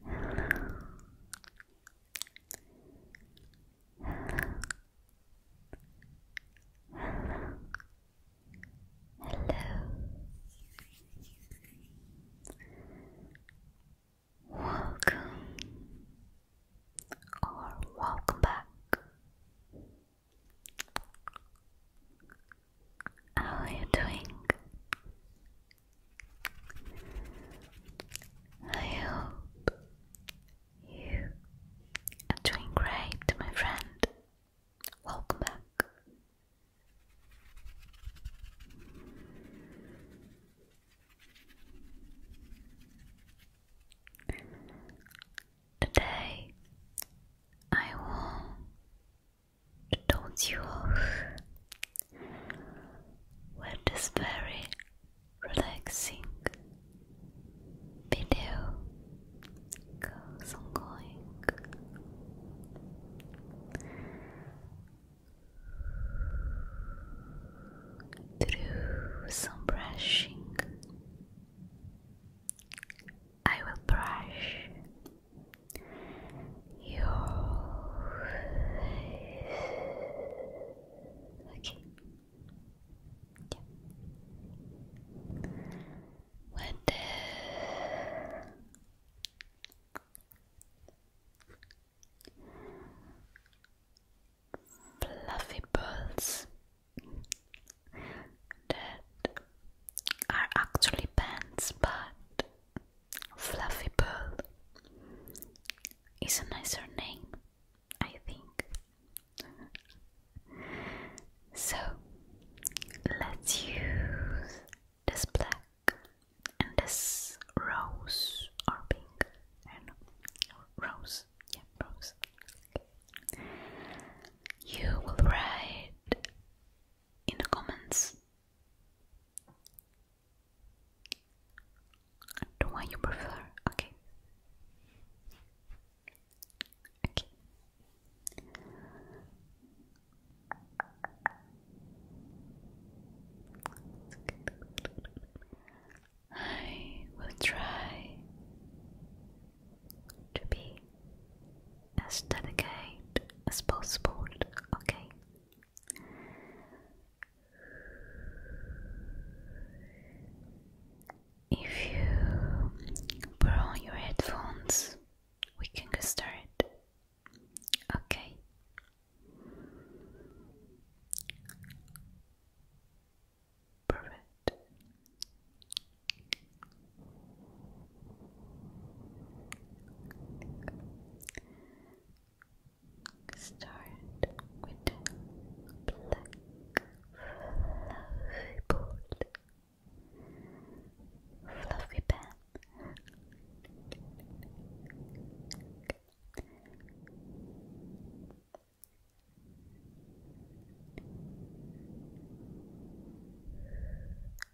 Hello. Hello. Hello. Welcome or welcome back how are you doing? I hope you are doing great, my friend. Welcome back. Today I will tones you off. this very relaxing video goes on going. Through some brushing, I will brush you okay? Yeah. When the fluffy balls that are actually pants, but Fluffy bird is a nicer name, I think. So let's use this black and this rose or pink and rose, yeah, rose. You will write in the comments. The one you prefer, okay. Okay. I will try to be as dedicated as possible, okay? If you put on your headphones, we can get started, okay? Perfect. Start with fluffy ball, fluffy pen.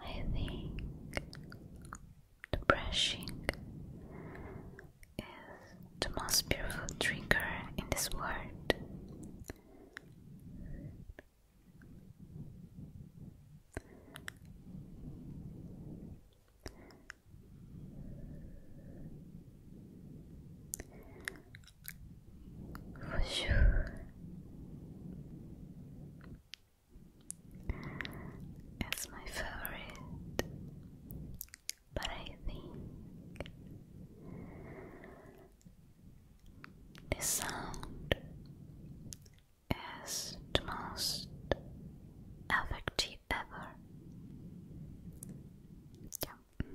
I think the brushing is the most beautiful drinker in this world for sure. It's my favorite, but I think the sound is the most effective ever. Yeah. Tick, tick,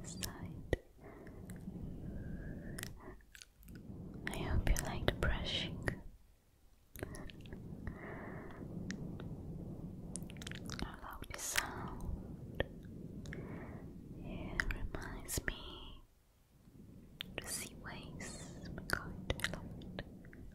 This side. I hope you liked brushing. I love the sound. It reminds me to see waves. Oh my god,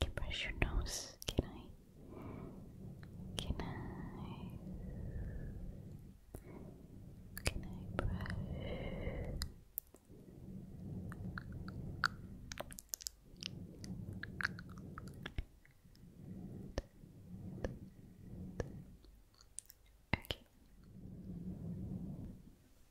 can brush your nose. Can I? Can I? Can I brush? Okay.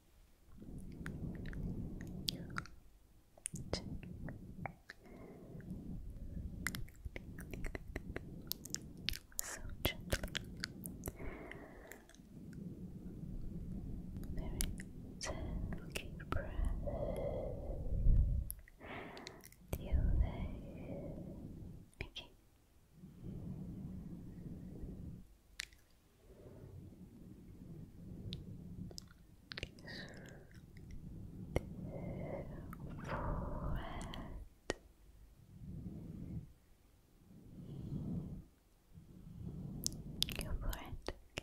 So gently, very delicate breath. Delay. Okay. Forehead. Go for it. Okay.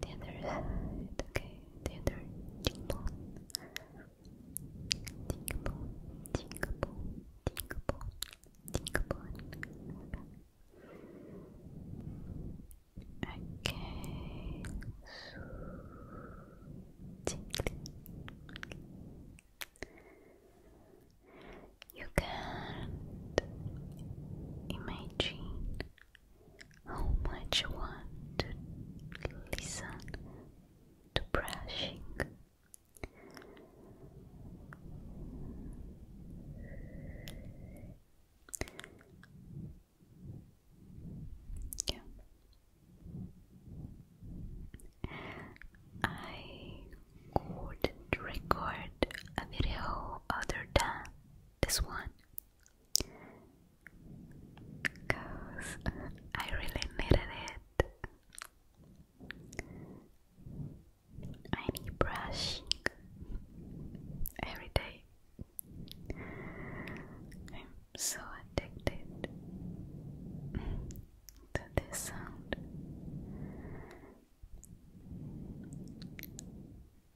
The okay, the other cheekbone. Cheekbone, cheekbone, cheekbone, cheekbone. Okay, so you can't imagine how much you want to listen to brushing. Yeah. I could record a video other than this one because I really needed it. I need brushing every day. I'm so addicted to this sound.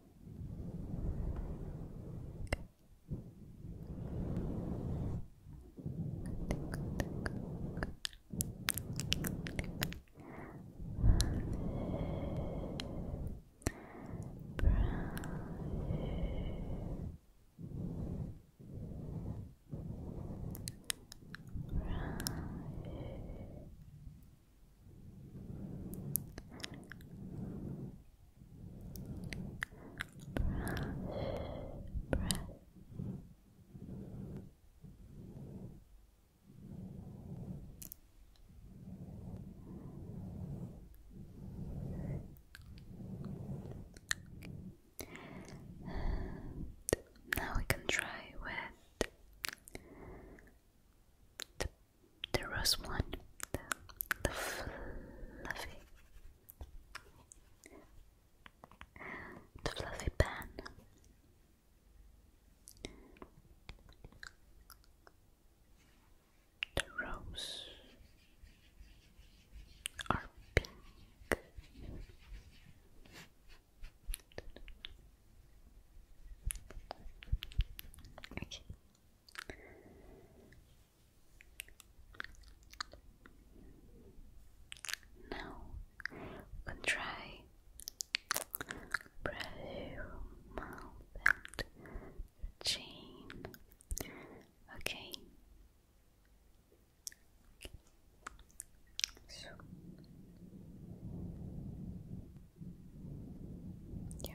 Brown. Brown brush. And now we can try with there was one, the, fluffy, the fluffy pen. The rose are pink. Now contrai breath and your Okay. Yeah.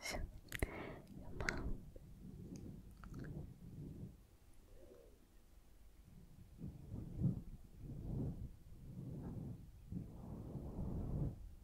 So, your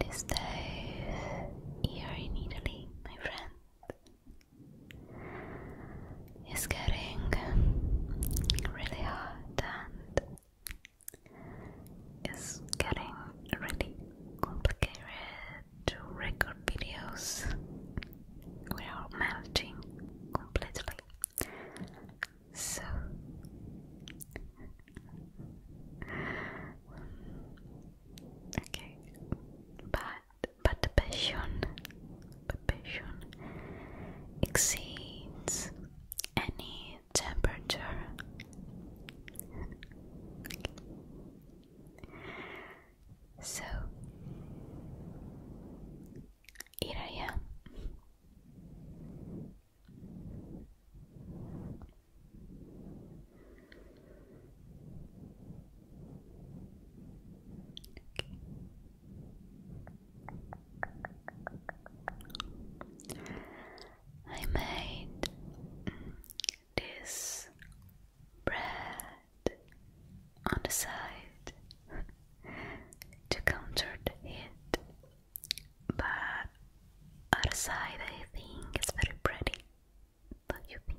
These days here in Italy, my friend, is getting really hot and is getting really complicated to record videos we are melting completely. So okay, but but the passion, passion exceeds any temperature. So here I am. I made this bread on the side to counter the heat, but other side I think is very pretty. What do you think?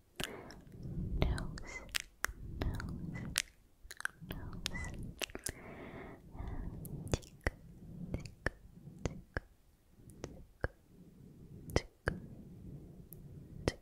nose, nose, nose, tick, tick, tick, tick, tick, tick, tick, tick. Tick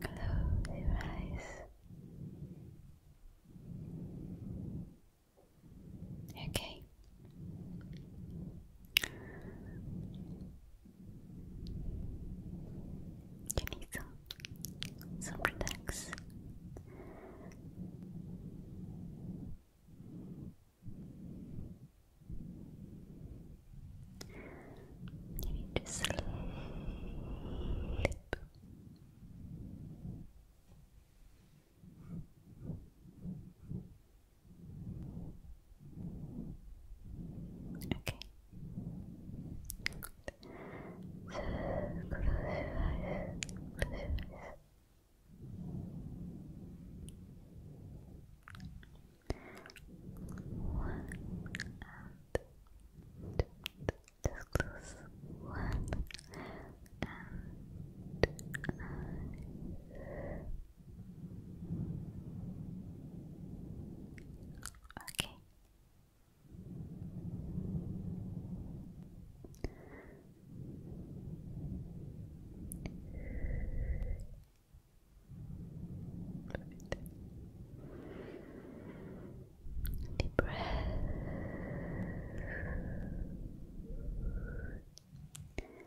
Close your eyes. Okay. You need some, some relax. You need to sleep. Okay. So close your eyes. Close your One two. Just close one and Okay. Perfect. Deep breath. Good.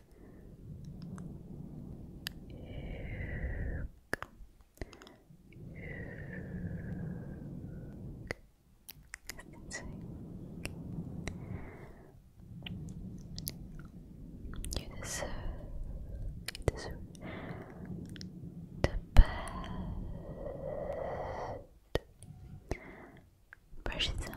You deserve, you deserve the best. Brush it out.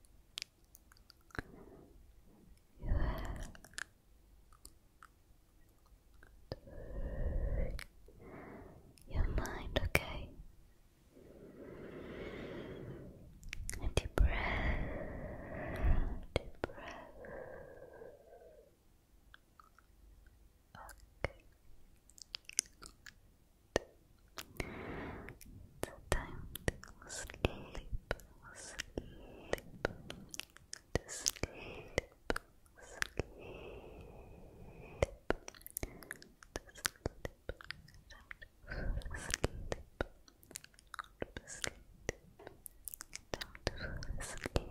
You have your mind, okay? And deep breath, deep breath. Okay. It's time to go sleep, sleep, to sleep, sleep, sleep, sleep. Sleep. sleep.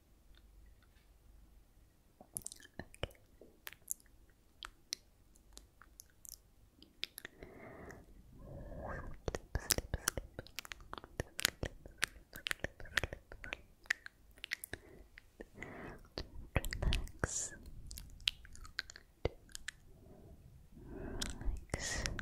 Okay. Sleep, sleep, sleep. Relax. Relax. Relax.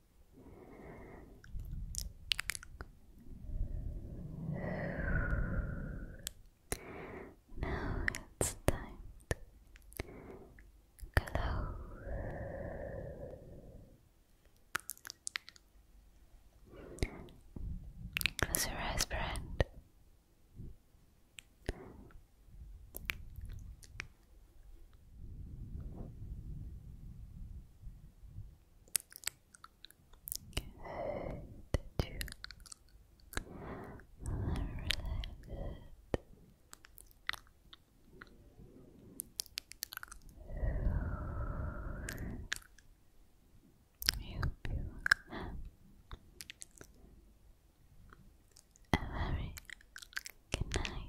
Now it's time to Close your eyes, friend. Good. Relax. You a very good night.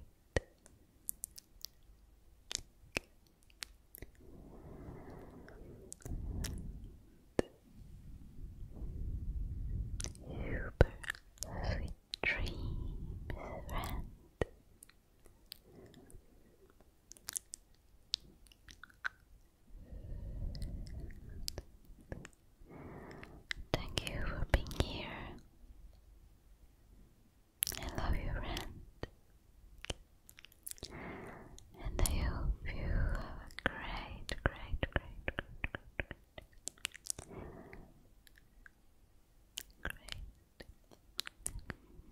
Super sweet dreams, friend. Thank you for being here. I love you, friend. And I hope you have a great, great, great, great, great,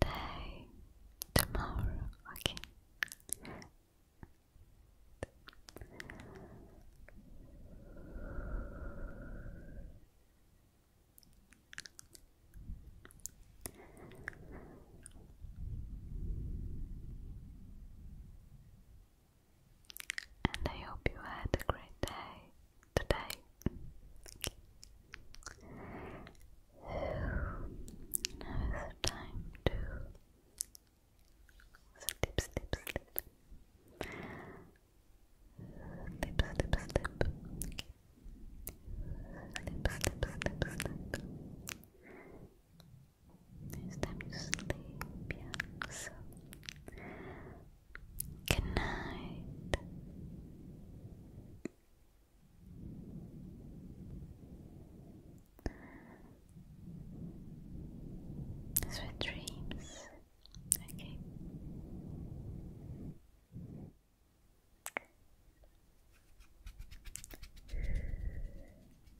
great day tomorrow, okay? And I hope you had a great day today. Now is time to sleep, sleep, sleep. Snip, snip, snip. Okay. Snip, snip, snip, snip. It's time to sleep, So, good night. Sweet dreams. Okay.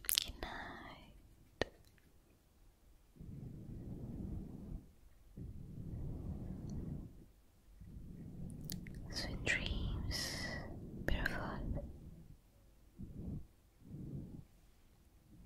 Good night. Sweet dreams, beautiful.